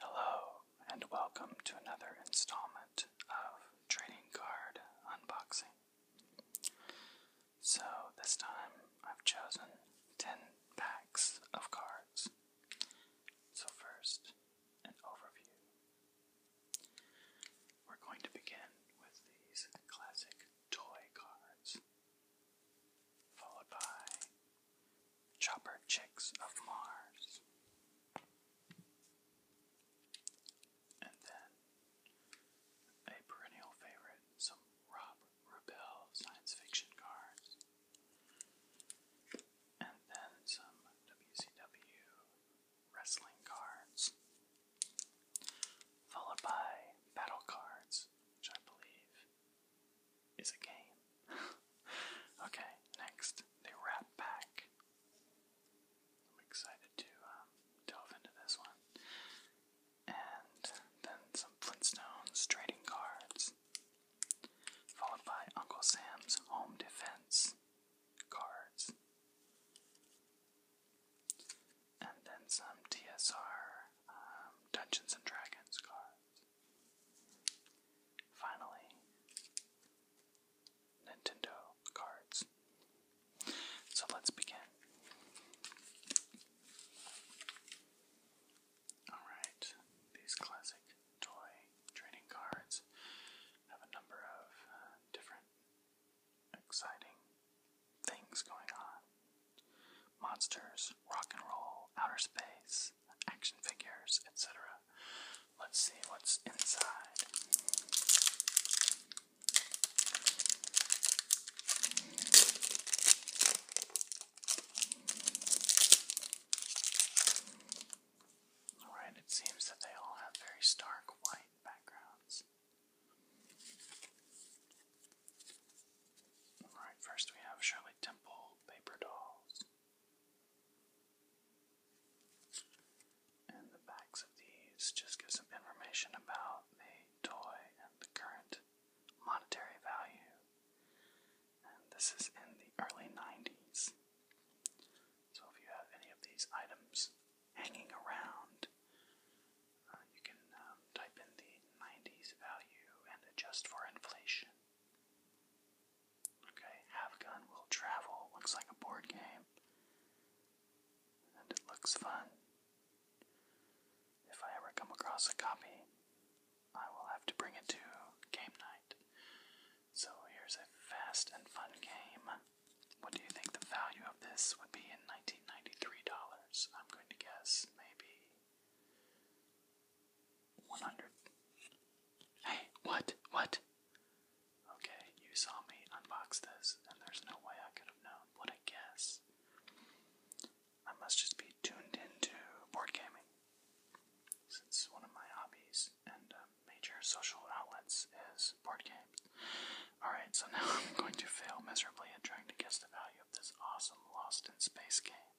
Hello, and welcome to another installment of Trading Card Unboxing. So, this time I've chosen 10 packs of cards. So, first, an overview. We're going to begin with these classic toy cards, followed by Chopper Chicks of Mars. And then a perennial favorite, some Rob Rebel science fiction cards. And then some WCW wrestling cards. Followed by battle cards, I believe is a game. okay, next, the Rat Pack. I'm excited to um, delve into this one. And then some Flintstones trading cards, followed by Uncle Sam's home defense cards. And then some TSR um, Dungeons and Dragons cards. Finally, Nintendo cards. So let's begin. Alright, these classic toy trading cards have a number of uh, different exciting things going on monsters, rock and roll, outer space, action figures, etc. Let's see what's inside. Alright, it seems that they all have very stark white backgrounds. Alright, first we have Shirley Temple paper dolls. And the backs of these just give some information about the toy and the current monetary value. And this is in the early 90s. So if you have any of these items hanging around, uh, you can um, type in the 90s value and adjust for inflation. Okay, Have Gun Will Travel looks like a board game. And it looks fun. If I ever come across a copy, I will have to bring it to game night. So here's a fast and fun game. What do you think the value of this would be in $1993? I'm going to guess maybe 100. Hey, what? What? Okay, you saw me unbox this, and there's no way I could have known what I guess. I must just be tuned into board gaming. Since one of my hobbies and uh, major social outlets is board games. Alright, so now I'm going to fail miserably at trying to guess the value of this awesome Lost in Space game.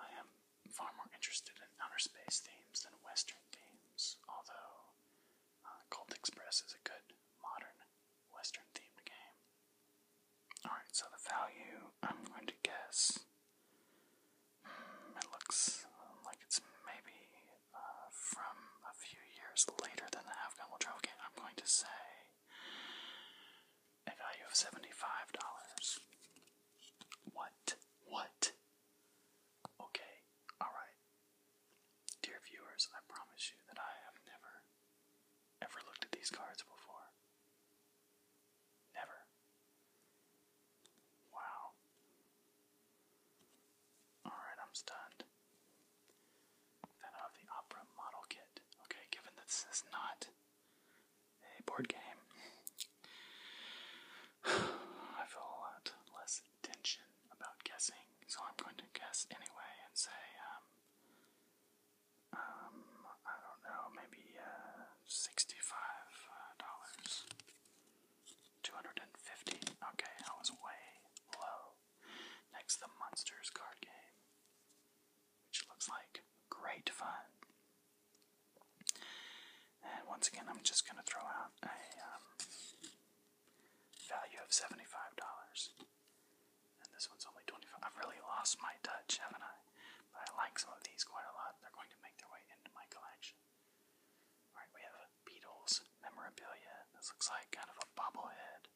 I am far more interested in outer space themes than Western themes, although uh, Cult Express is a good modern Western themed game. Alright, so the value, I'm going to guess. Hmm, it looks like it's maybe uh, from a few years later than the Half Gun Will Travel I'm going to say a value of seventy-five dollars. What? What? Okay, alright. Dear viewers, I promise you that I have never, ever looked at these cards before. Never. Wow. Alright, I'm stunned. Then out of uh, the opera model kit. Okay, given that this is not a board game, I feel a lot less tension about guessing, so I'm going to guess anyway and say, um, um, I don't know, maybe uh, sixty-five uh, dollars, two hundred and fifty. Okay, I was way low. Next, the Monsters card game which looks like great fun. And once again, I'm just going to throw out a um, value of $75. And this one's only 25 I've really lost my touch, haven't I? But I like some of these quite a lot. They're going to make their way into my collection. Alright, we have Beatles memorabilia. This looks like kind of a bobblehead.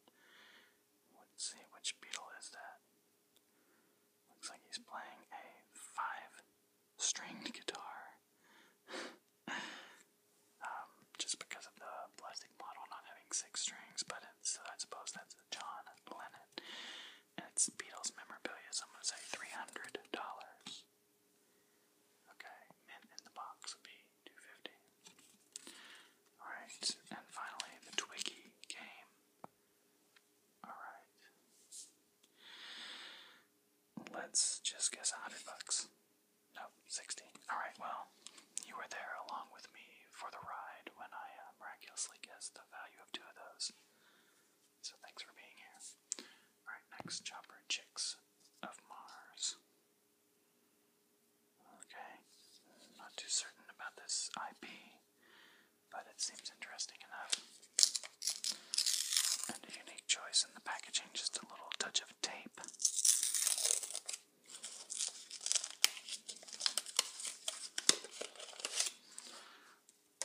Let's see, which beetle is that? Looks like he's playing a five stringed guitar. Um, just because of the plastic model not having six strings, but it's, uh, I suppose that's John Lennon. And it's Beatles memorabilia, so I'm going to say $300. Okay, mint in the box would be $250. Alright, and finally the Twiggy game. Alright. Let's just guess 100 bucks. No, 60. Alright, well, you were there along with me for the ride when I uh, miraculously guess the value of two of those. So thanks for being here. Alright, next chopper chicks of Mars. Okay, not too certain about this IP but it seems interesting enough. And a unique choice in the packaging, just a little touch of tape.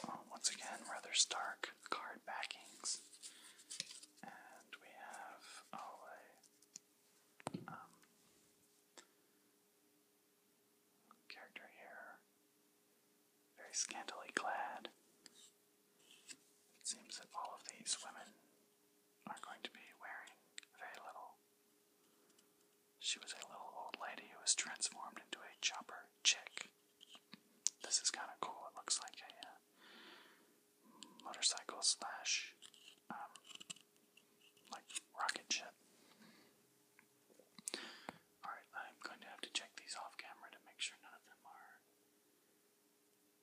Oh, once again, rather stark card backings. And we have, oh, a, um, character here, very scantily clad. It seems that all of these women are going to be wearing very little. She was a little old lady who was transformed into a chopper chick. This is kind of cool. It looks like a uh, motorcycle slash, um, like rocket ship. Alright, I'm going to have to check these off camera to make sure none of them are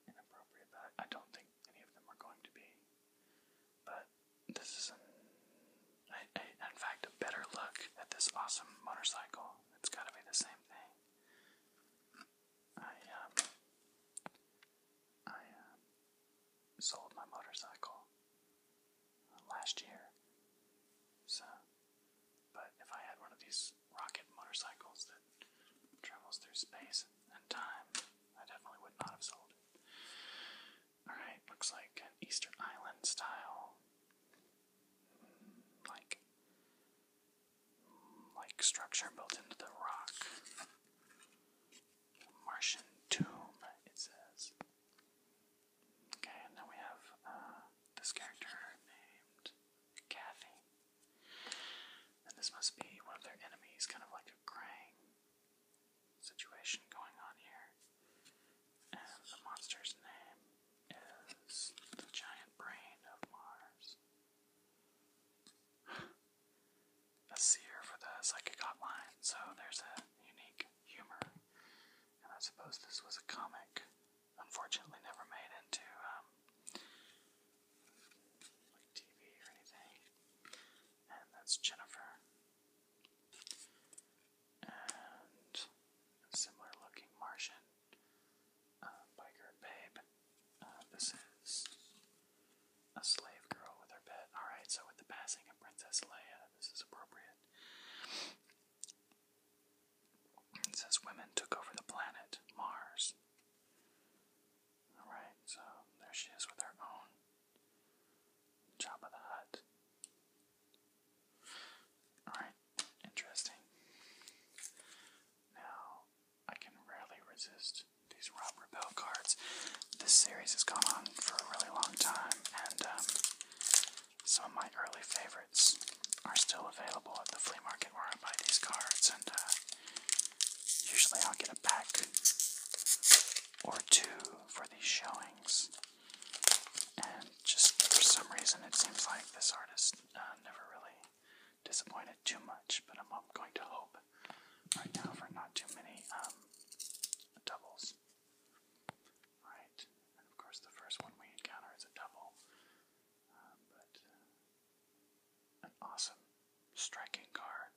inappropriate, but I don't think any of them are going to be. But this is, an, in fact, a better look at this awesome motorcycle. It's got to be the same thing. I, um, I, um, sold my motorcycle last year. So, but if I had one of these rocket motorcycles that travels through space and time, I definitely would not have sold it. Alright, looks like an Eastern Island style. Mm, like. Mm, like structure built into the rock. Martian tomb, it says. Okay, and then we have uh, this character named Kathy. And this must be one of their enemies, kind of like a Krang situation going on here. And the monster's name is the Giant Brain of Mars. a seer for the psychic hotline, so there's a unique humor and I suppose this was a comic. Unfortunately, never made into um, like TV or anything. And that's Jennifer. And a similar looking Martian uh, biker babe. Uh, this is a slave girl with her pet. Alright, so with the passing of Princess Leia, this is appropriate. It says women took over the planet Mars. Alright, so there she is with her own job of the hut. Alright, interesting. Now, I can rarely resist these Rob Repel cards. This series has gone on for a really long time, and um, some of my early favorites are still available at the flea market where I buy these cards, and uh, usually I'll get a pack or two for these showings. And just for some reason, it seems like this artist uh, never really disappointed too much, but I'm going to hope right now for not too many um, doubles. Right, and of course the first one we encounter is a double, um, but uh, an awesome, striking card.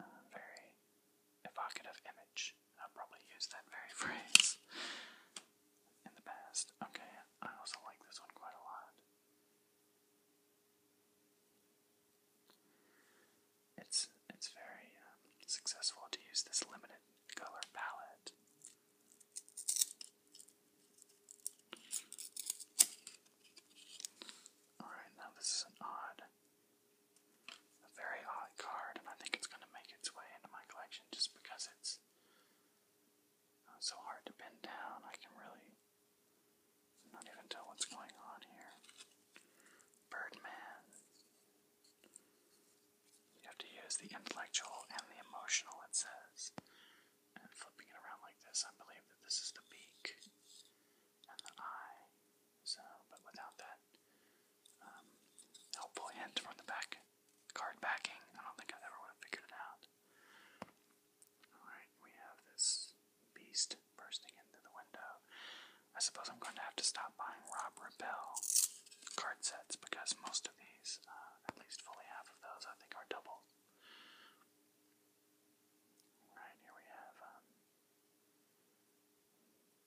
Uh, very evocative image. i probably use that very phrase in the past. Okay, I also like this one quite a lot. It's it's very um, successful to use this limited color palette. Alright, now this is an odd, a very odd card, and I think it's going to make its way into my collection just because it's uh, so hard to pin down. I can really not even tell what's going on here. Birdman, you have to use the intellectual and the emotional, it says. And flipping it around like this, I believe that this is the beak and the eye. So, but without that um, helpful hint from the back card backing, I don't think I ever would have figured it out. Alright, we have this beast bursting into the window. I suppose I'm going to have to stop buying Rob Rebel card sets because most of these, uh, at least fully half of those, I think are double. Alright, here we have. Um,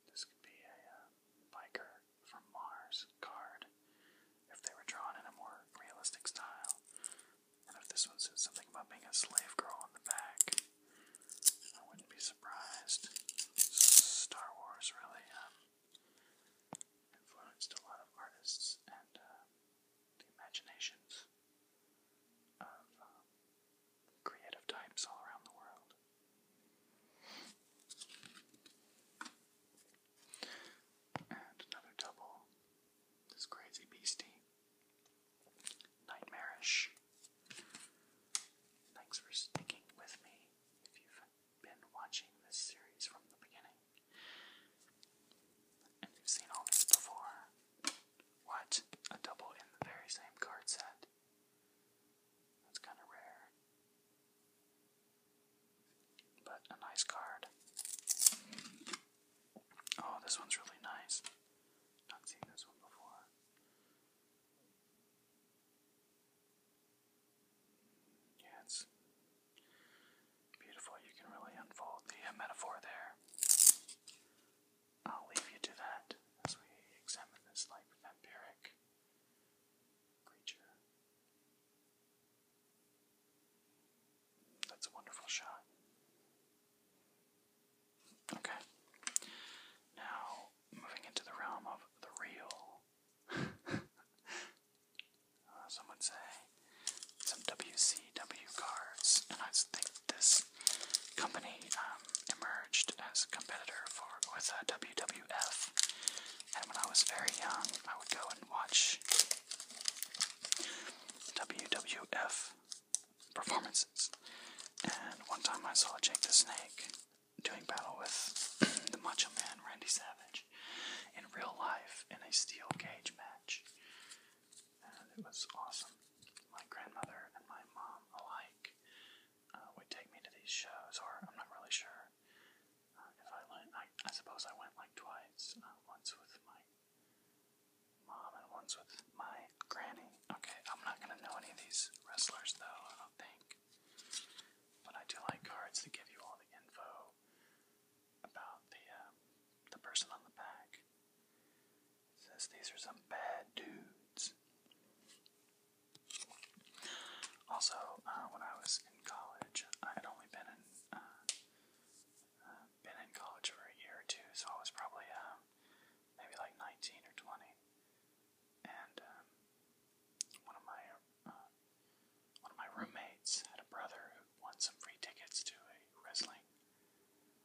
this could be a uh, biker from Mars card if they were drawn in a more realistic style. And if this one says something about being a slave girl on the back, I wouldn't be surprised. Star Wars really um, influenced a lot of artists and uh, the imaginations of um, creative types all around the world. And another double, this crazy beastie, Nightmarish. Thanks for sticking with me been watching this series from the beginning and you've seen all this before. What? A double in the very same card set? That's kind of rare. But a nice card. Oh, this one's really nice. Not seen this one before. Yeah, it's beautiful. You can really unfold the uh, metaphor there. I'll leave you to that as we examine this like vampiric creature. That's a wonderful shot. Okay. Now, moving into the realm of the real uh, some would say some WCW cards, and I think this company um, emerged as a competitor for with uh, WWF. And when I was very young, I would go and watch WWF performances. And one time I saw Jake the Snake doing battle with the Macho Man Randy Savage in real life in a steel cage match. That was awesome. My grandmother and my mom alike uh, would take me to these shows, or I'm not really sure uh, if I went. I, suppose I went like twice. Uh, once with my mom and once with my granny. Okay, I'm not gonna know any of these wrestlers though, I don't think. But I do like cards that give you all the info about the um, the person on the back. says these are some bad dudes. Also, uh, when I was in college, I had only been in uh, uh, been in college for a year or two, so I was probably uh, maybe like 19 or 20 and um, one of my uh, one of my roommates had a brother who won some free tickets to a wrestling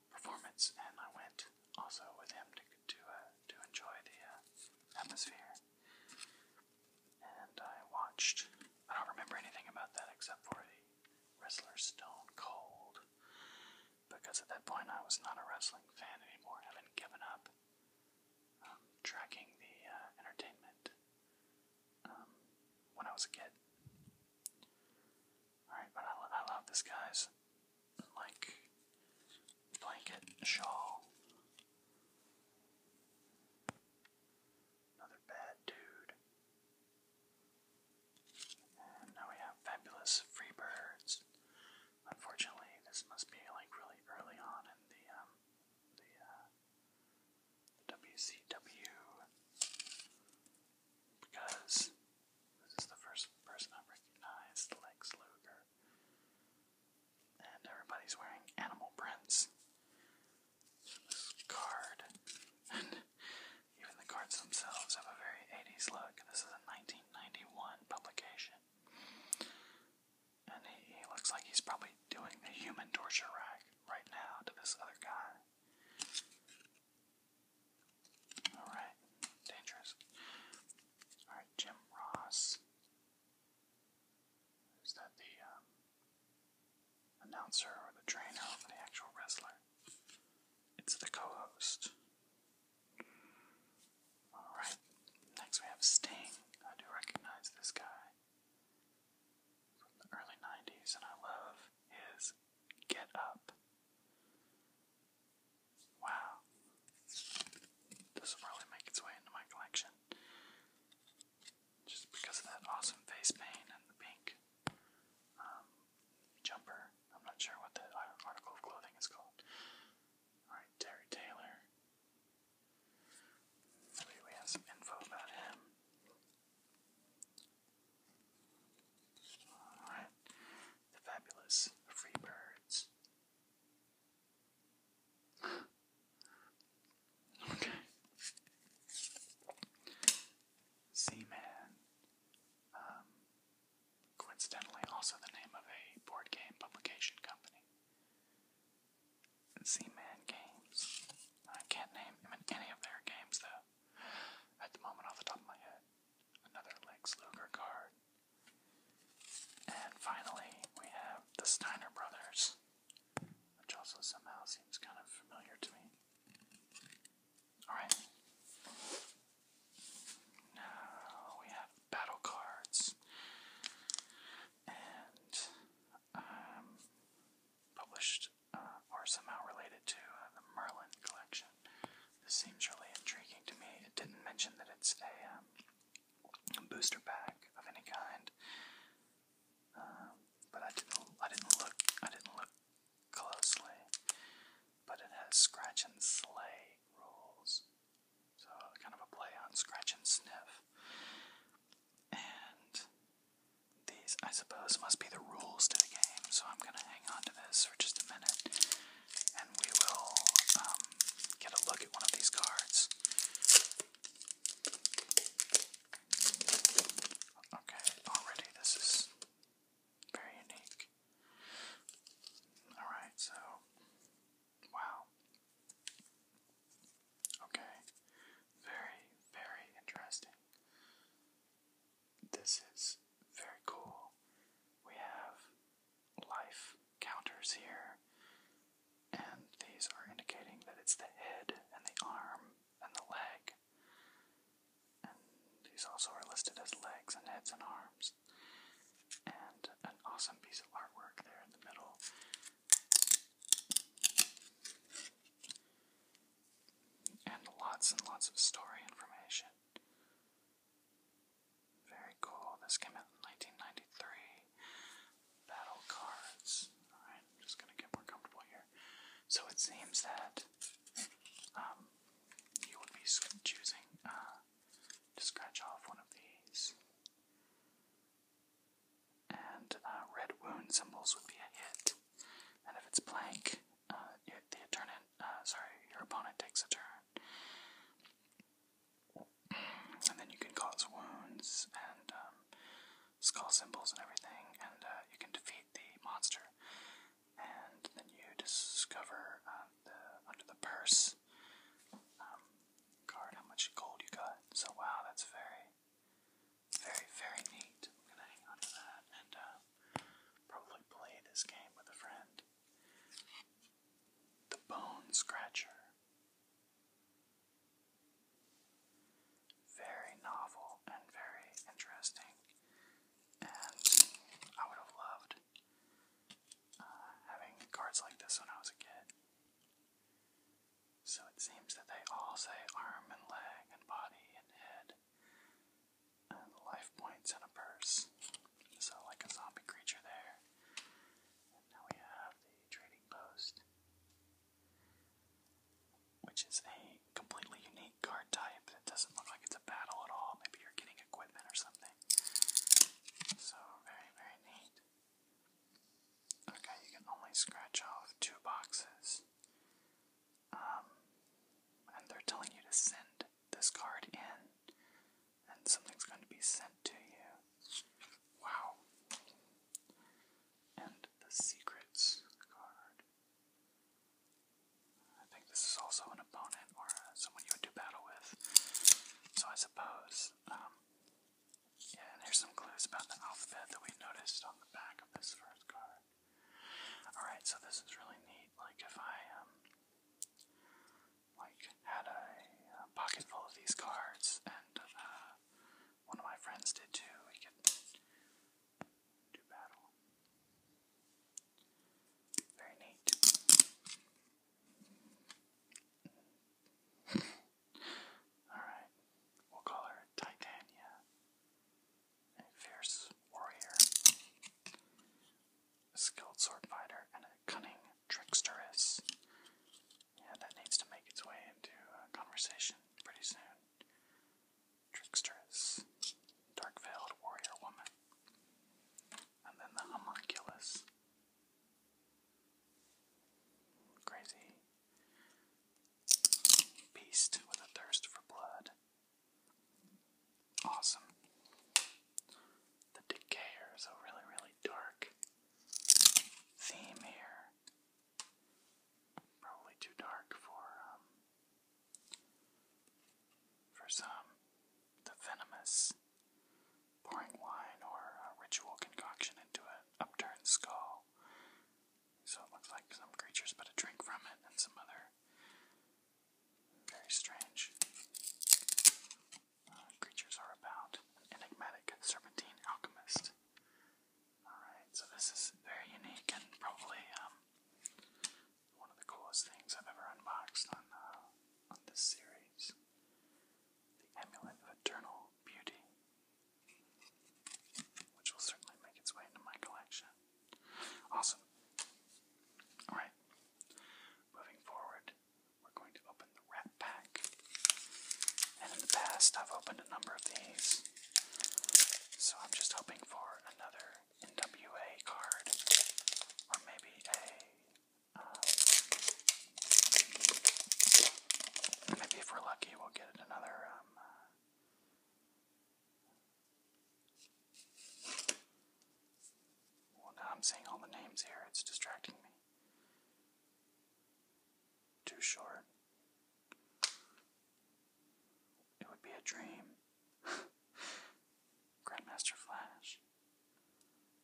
performance, and I went also with him to to uh, to enjoy the uh, atmosphere. And I watched. I don't remember anything about that except for the wrestler Stone Cold, because at that point I was not a wrestling fan anymore, having given up um, tracking the uh, entertainment um, when I was a kid. Alright, but I, I love this guy's like blanket shawl. Another bad dude. And now we have fabulous free birds. Unfortunately, this must be like really early on in the um, the, WCW uh, because this is the first person I recognized, Lex Luger, and everybody's wearing animal prints. This card, and even the cards themselves have a very 80s look. This is a 1991 publication. And he, looks like he's probably doing a human torture rack right now to this other guy. Alright, dangerous. Alright, Jim Ross. Is that the um, announcer or the trainer or the actual wrestler? It's the co host. Alright, next we have Sting. I do recognize this guy from the early 90s, and I love his Get Up. Wow. This will probably make its way into my collection. Just because of that awesome face paint and the pink um, jumper. I'm not sure what the article of clothing is called. Alright, Terry Taylor. Wait, we have some info about him. Alright. The fabulous Freebirds. okay. z um, coincidentally also the name of a board game publication company. Z-Man games. I can't name him any of their games though. At the moment, off the top of my head. Another Lex Luger card. And finally, we have the Steiner Brothers, which also somehow seems kind of familiar to me. Alright. Now we have battle cards and um, published uh, or somehow related to uh, the Merlin collection. This seems really intriguing to me. It didn't mention that it's a, um, booster pack of any kind, um, but I didn't. I didn't look. I didn't look closely. But it has scratch and slay rules, so kind of a play on scratch and sniff. And these, I suppose, must be the rules to the game, so I'm gonna hang on to this for just a minute, and we will um, get a look at one of these cards. Okay, already this is very unique. Alright, so Wow. Okay. Very, very interesting. This is very cool. We have life counters here, and these are indicating that it's the head and the arm and the leg. And these also are listed as legs and heads and arms. And an awesome piece of artwork there in the middle and lots and lots of story information. Very cool. This came out in 1993. Battle cards. I'm just gonna get more comfortable here. So it seems that um, you would be choosing uh, to scratch off one of these and uh, red wound symbols would be a hit. And if it's blank, uh, the opponent, uh, sorry, your opponent takes a turn. And then you can cause wounds and um, skull symbols and everything, and you can defeat the monster. And then you discover the, under the purse um, card how much gold you got. So, wow, that's very very, very neat. I'm gonna hang on that and uh, probably play this game with a friend. The Bone Scratcher. Very novel and very interesting. And I would have loved uh, having cards like this when I was a kid. So it seems that they all say arm and leg and body and head and life points and a purse. So, like a zombie creature there. And now we have the trading post, which is a completely unique card type. It doesn't look like it's a battle at all. Maybe you're getting equipment or something. So, very, very neat. Okay, you can only scratch off two boxes. Um, and they're telling you to send this card in, and something's going to be sent to you. Wow. And the secrets card. I think this is also an opponent or someone you would do battle with. So I suppose um, yeah, and there's some clues about the alphabet that we noticed on the back of this first card. Alright, so this is really neat. Like, if I, um, like, had a, pocket full of these cards, and, uh, one of my friends did too, we could do battle. Very neat. Alright, we'll call her Titania, a fierce warrior, skilled sword fighter, and a cunning tricksteress. Yeah, that needs to make its way into conversation pretty soon. Tricksteress, dark veiled warrior woman, and then the homunculus. Crazy Beast with a thirst for blood. Awesome. The Decayer is a really, really dark theme here. Probably too dark for um, for some. The venomous pouring wine or ritual concoction into an upturned skull. So it looks like some creatures put a drink from it and some other very strange uh, creatures are about. An enigmatic serpentine alchemist. Alright, so this is very unique and probably um, one of the coolest things I've ever unboxed on, uh, on this series. The Amulet of Eternal Beauty which will certainly make its way into my collection. Awesome. Alright, moving forward, we're going to open the Rat Pack. And in the past, I've opened a number of these, so I'm just hoping for another NWA card, or maybe a. Uh, Maybe if we're lucky, we'll get another. Um, uh, well, now I'm seeing all the names here, it's distracting me. Too short. It would be a dream. Grandmaster Flash.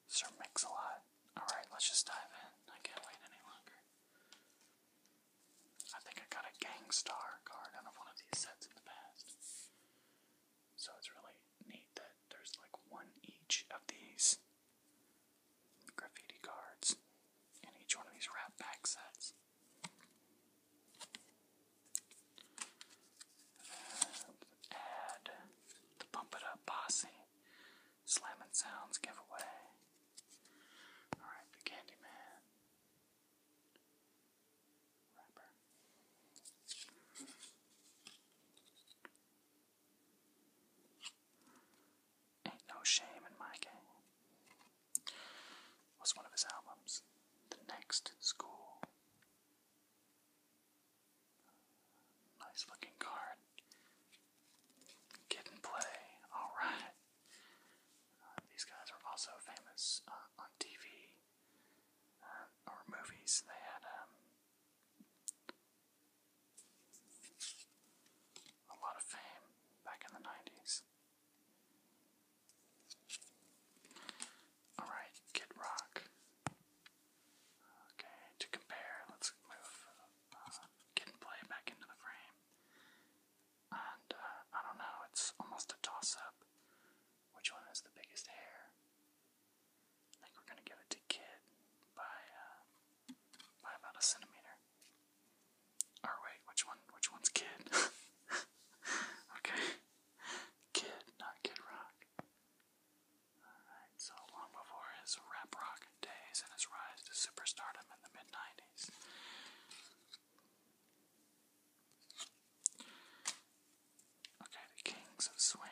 Sir Mix-a-Lot. Alright, let's just dive in. I can't wait any longer. I think I got a Gangstar card out of one of these sets in the past. So it's really neat that there's like one each of these graffiti cards in each one of these wrap sets. add the Bump It Up Posse Slamming Sounds giveaway. Alright, the Candyman. Rapper. Ain't No Shame in My Game was one of his albums. The Next School. Nice looking card. Get and play. All right. Uh, these guys are also famous uh, on TV uh, or movies. They had um, a lot of fame back in the 90s. Alright, Kid Rock. Okay, to compare, let's move Kid and Play back into the frame. And uh, I don't know, it's almost a toss up which one has the biggest hair. I think we're going to give it to Kid by, uh, by about a centimeter. Or wait, which one? Which one's Kid? okay. Kid, not Kid Rock. Alright, so long before his rap rock days and his rise to superstardom in the mid 90s. Okay, the Kings of Swing.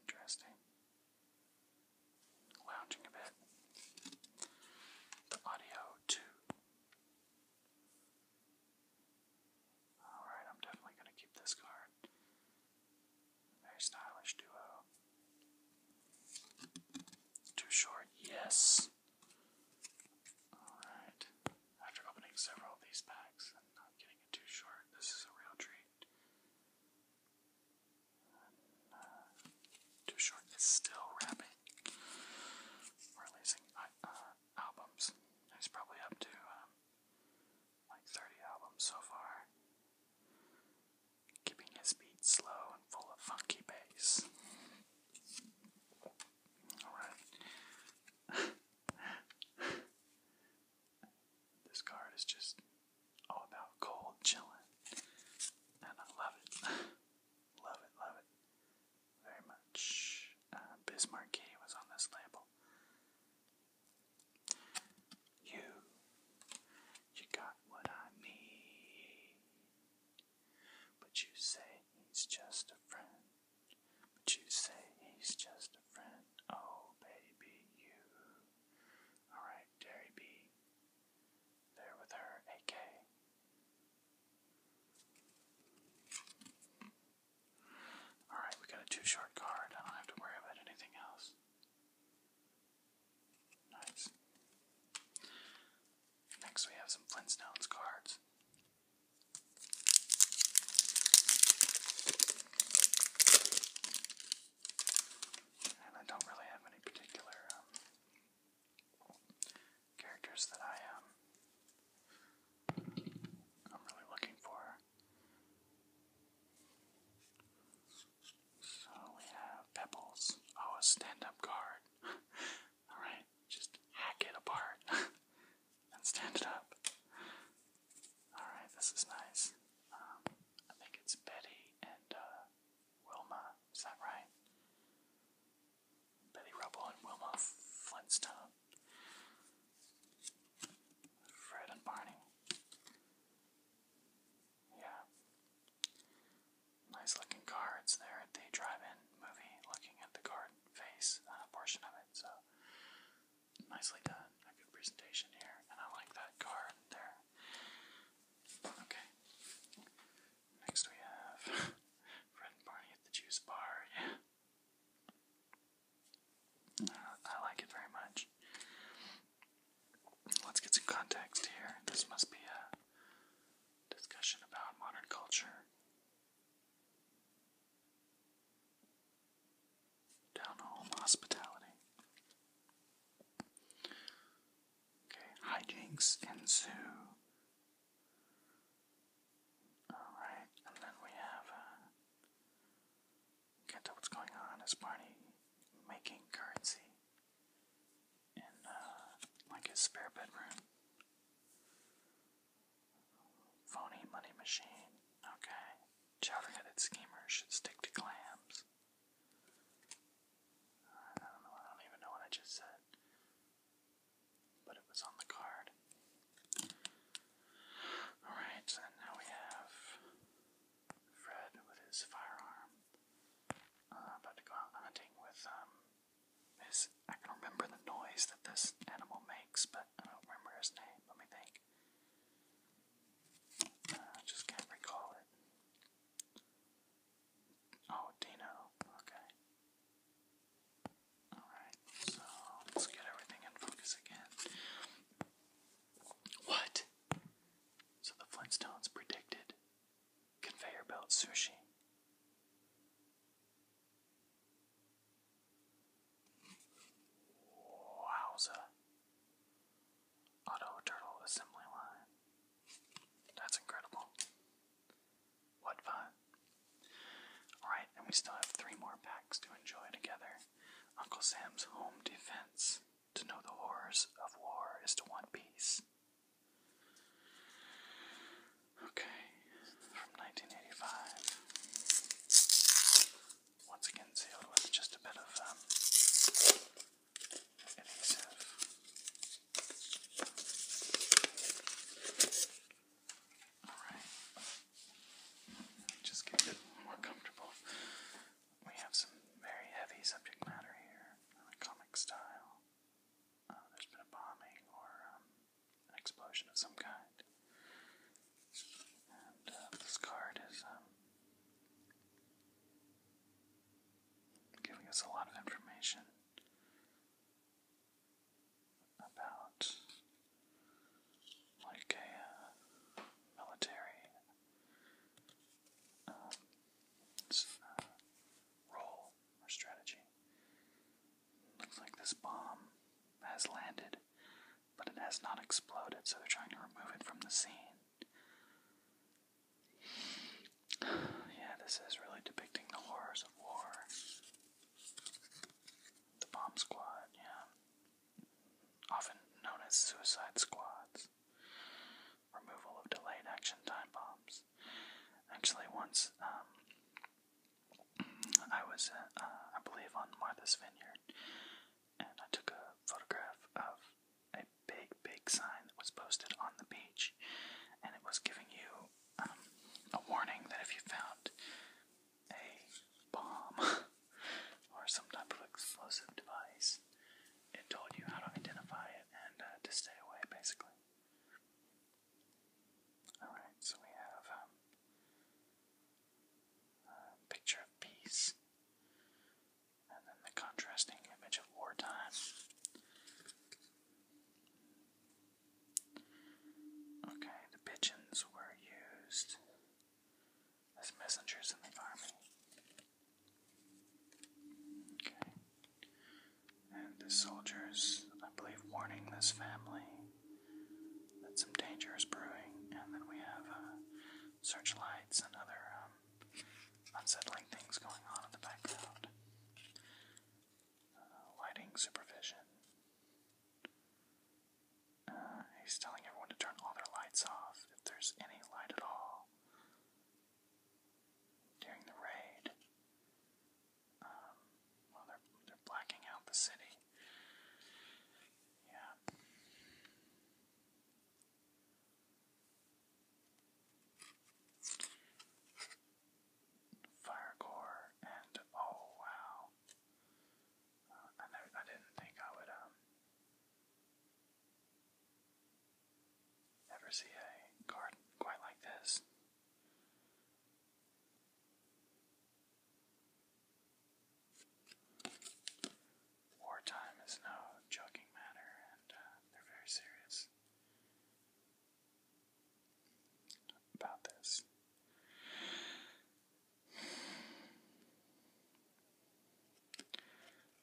Interesting. Lounging a bit. The audio, too. Alright, I'm definitely going to keep this card. Very stylish duo. Too short, yes. Alright. After opening several of these packs and not getting too short, this is a real treat. Uh, too short is still rapping. Releasing uh, uh, albums. He's probably up to um, like 30 albums so far keeping his beat slow and full of funky bass. Alright. this card is just all about cold chilling, and I love it. love it, love it very much. Uh, Bismarcky was on this label. You, you got what I need. But you say he's just a friend. But you say he's just a friend. Oh, baby, you. Alright, Dairy B. There with her, AK. Alright, we got a two short card. I don't have to worry about anything else. Nice. Next, we have some Flintstones cards. And I don't really have any particular um, characters that um, I'm really looking for. So we have pebbles. Oh, stand-up guard. Alright, just hack it apart and stand it up. Alright, this is nice. Um, I think it's Betty and uh, Wilma, is that right? Betty Rubble and Wilma Flintstone. Fred and Barney. Yeah. Nice looking cards there at the drive-in movie, looking at the card face a uh, portion of it. So nicely done. A good presentation here, and I like that card there. Okay. Next we have Fred and Barney at the juice bar. Yeah. Uh, I like it very much. Let's get some context here. This must be a discussion about modern culture. Down home hospitality. Okay, hijinks ensue. Alright, and then we have uh, can't tell what's going on. Is Barney making currency in uh, like his spare bedroom? Phony money machine. Okay. Chowder-headed schemers should stick to clams. I don't know. I don't even know what I just said, but it was on the card. All right, and now we have Fred with his firearm. Uh, about to go out hunting with um, his. I can remember the noise that this animal makes, but I don't remember his name. Let me think. I uh, just can't recall it. Oh, Dino. Okay. Alright, so let's get everything in focus again. What? So the Flintstones predicted conveyor belt sushi. Wowza. Auto turtle assembly line. That's incredible. What fun. Alright, and we still have three more packs to enjoy together. Uncle Sam's Home Defense. To know the horrors of war is to want peace. Okay, from 1985. Once again, sealed with just a bit of um, adhesive. Alright, just get more comfortable. We have some very heavy subject matter here comic style. Uh, there's been a bombing or um, an explosion of some kind. And uh, this card is um, giving us a lot of information about like a uh, military um, role or strategy. Looks like this bomb has landed, but it has not exploded, so they're trying to remove it from the scene. Yeah, this is really depicting the horrors of war. The bomb squad, yeah. Often known as suicide squads removal of delayed action time bombs. Actually, once um, I was, uh, uh, I believe, on Martha's Vineyard, and I took a photograph of a big, big sign that was posted on the beach, and it was giving you um, a warning that if you found a bomb or some type of explosive device, it told you how to identify it and uh, to stay away, basically. Alright, so we have um, a picture of peace, and then the contrasting image of wartime. Okay, the pigeons were used as messengers in the army. Okay. And the soldiers, I believe, warning this family that some danger is brewing. And then we have uh, searchlights and other um, unsettling things going on in the background. Uh, lighting supervision. Uh, he's telling everyone to turn all their lights off if there's any light at all during the raid. Um, they're, they're blacking out the city. Yeah. Firecore and oh wow. Uh, I, never, I didn't think I would um Never see a card quite like this. Wartime is no joking matter, and uh, they're very serious about this.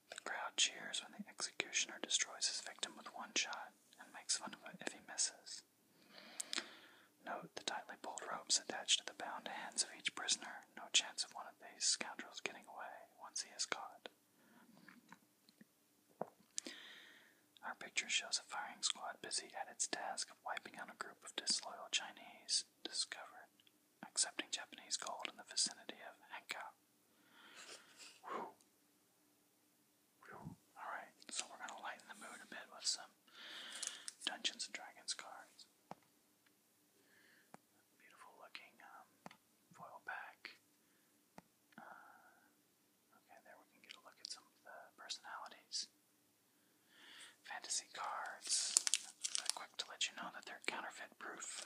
The crowd cheers when the executioner destroys his victim with one shot and makes fun of it if he misses. Note the tightly pulled ropes attached to the bound hands of each prisoner. No chance of one of these scoundrels getting away once he is caught. Our picture shows a firing squad busy at its task of wiping out a group of disloyal Chinese discovered accepting Japanese gold in the vicinity of Hankow. Alright, so we're gonna lighten the mood a bit with some Dungeons and Dragons cards. Beautiful looking um, foil pack. Uh, okay, there we can get a look at some of the personalities. Fantasy cards quick to let you know that they're counterfeit proof.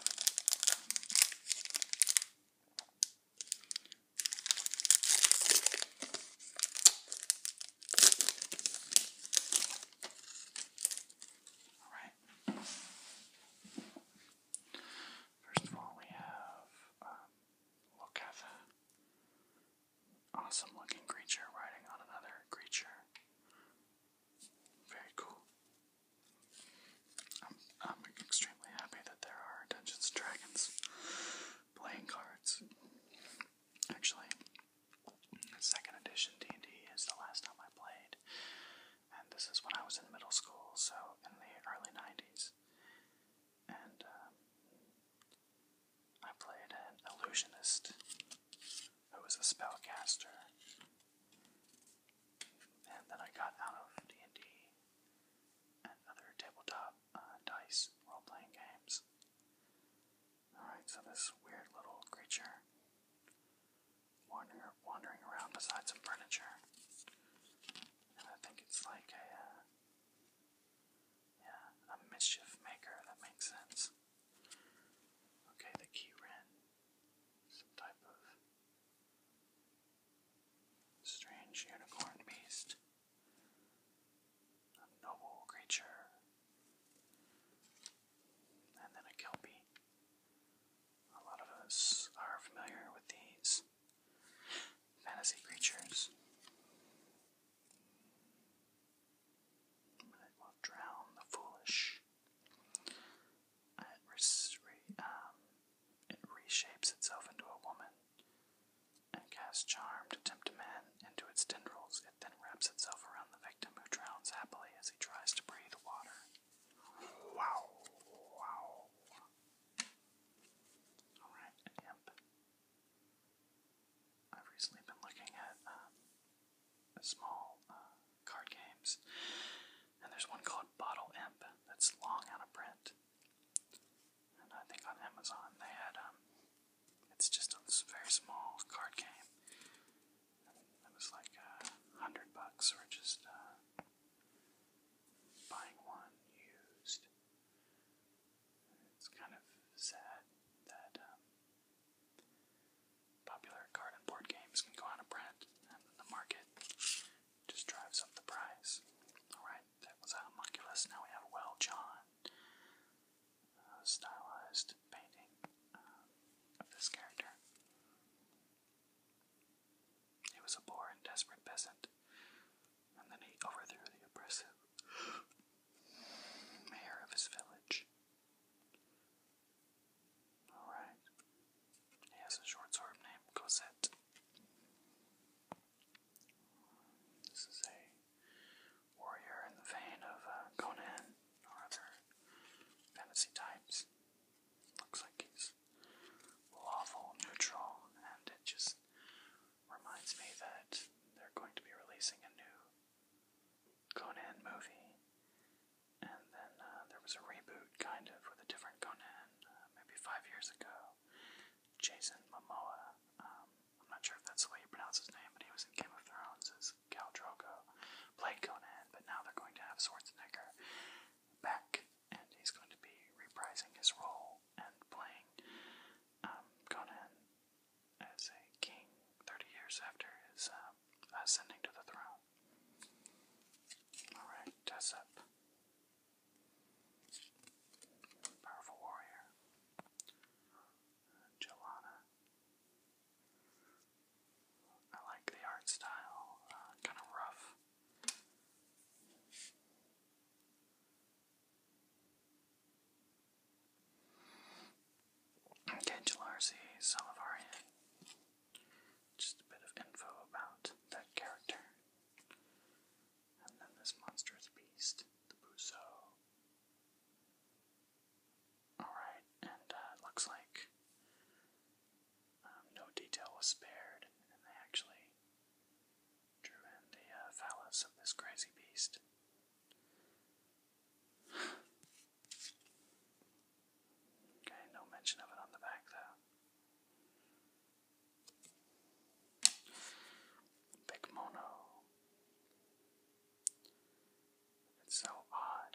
Alright. First of all, we have um, Awesome looking creature riding on another creature. Very cool. I'm, I'm extremely happy that there are Dungeons and Dragons playing cards. Actually, second edition D&D is the last time I played, and this is when I was in middle school, so in the early 90s. And um, I played an illusionist who was a spellcaster and then I got out of D&D and other tabletop uh, dice role-playing games. Alright, so this weird little creature wander, wandering around beside some furniture. And I think it's like a, uh, yeah, a mischief maker, that makes sense. Okay, the key ran some type of Strange unicorn beast. A noble creature. And then a kelpie. A lot of us are familiar with these fantasy creatures. It will drown the foolish um, it, reshapes itself into a woman and casts charm to tempt a man into its tendrils. It then wraps itself around the victim who drowns happily as he tries to breathe water. Wow. Wow. Alright, an I've recently been looking at um, a small uh, card games. And there's one called Bottle Imp that's long out of print. And I think on Amazon they had, um, it's just a very small card game. And it was like uh, a hundred bucks or just uh, buying one used. It's kind of sad that um, popular card and board games can go out of print and the market just drives up the price. Alright, that was homunculus. Now we have Well John, uh, stylized painting uh, of this character. He was a poor and desperate peasant, and then he overthrew the oppressive mayor of his village. Alright. He has a short sword named Cosette. This is a warrior in the vein of uh, Conan or other fantasy types. Looks like lawful, neutral, and it just reminds me that they're going to be releasing a new Conan movie and then uh, there was a reboot, kind of, with a different Conan, uh, maybe five years ago. Jason Momoa. Um, I'm not sure if that's the way you pronounce his name, but he was in Game of Thrones as Cal Drogo, played Conan, but now they're going to have Schwarzenegger back, and he's going to be reprising his role and playing um, Conan as a king 30 years after his um, ascending to the throne. Alright, Tessep. Powerful warrior. Jelana. I like the art style, uh, kind of rough. Okay, Jalarzi, Salavarian. Just a bit of info about that character. And then this monstrous beast, the Buso. Alright, and uh, looks like um, no detail was spared, and they actually drew in the uh, phallus of this crazy beast. Okay, no mention of it on the back though. Big It's so odd.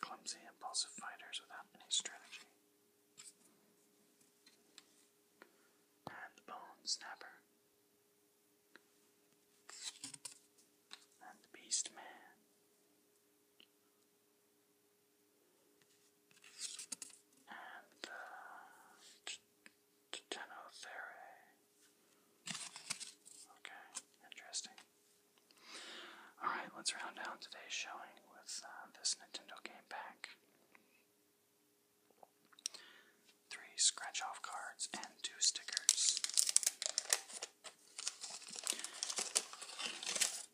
Clumsy, impulsive fighters without any strategy. And Bone Snapper and Beast Man. And uh, Okay, interesting. Alright, let's round out today's showing with uh, this Nintendo game pack. Three scratch off cards and two stickers.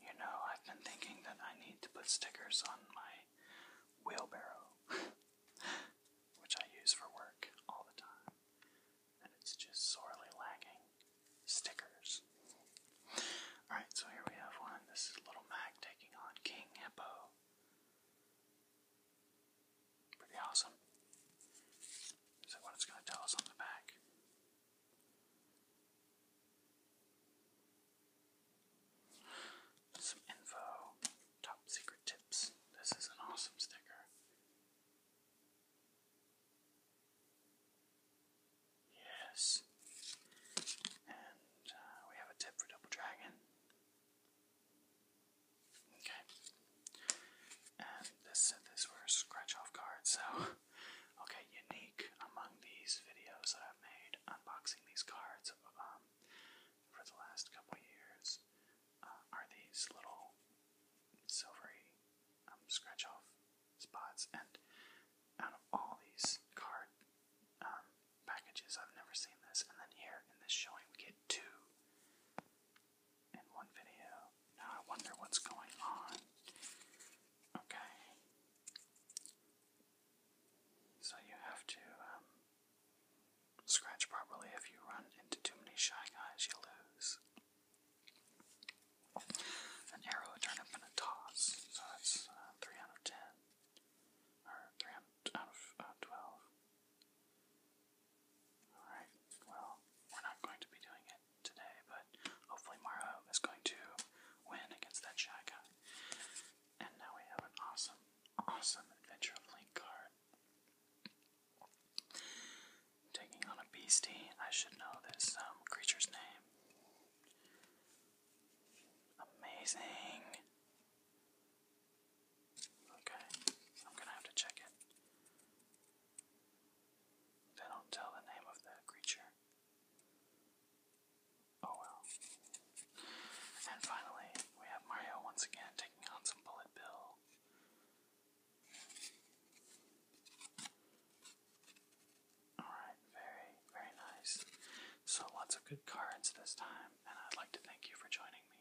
You know, I've been thinking that I need to put stickers on my wheelbarrow, which I use for work all the time, and it's just sorely lacking stickers. Alright, so here we have one. This is Little Mac taking on King Hippo. Pretty awesome. Is that what it's going to tell us on the back? Some info, top secret tips. This is an awesome sticker. Yes. And uh, we have a tip for Double Dragon. Okay, and this these were scratch off cards, so okay, unique among these videos that I've made unboxing these cards um, for the last couple years uh, are these little silvery um, scratch off spots. And out of all these card um, packages, I've never seen this. And then here in this showing, we get two in one video. Now I wonder what's going on. Okay. So you have to um, scratch properly. If you run into too many shy guys, you lose. An arrow, a turnip, and a toss. So that's uh, 3 out of 10. Or 3 out of uh, 12. Alright, well, we're not going to be doing it today, but hopefully Mara is going to win against that Shaka. And now we have an awesome, awesome Adventure of Link Taking on a beastie, I should know this um, creature's name. Amazing. Okay, I'm gonna have to check it. They don't tell the name of the creature. Oh well. And finally, we have Mario once again taking on some Bullet Bill. Alright, very, very nice. So, lots of good cards this time, and I'd like to thank you for joining me.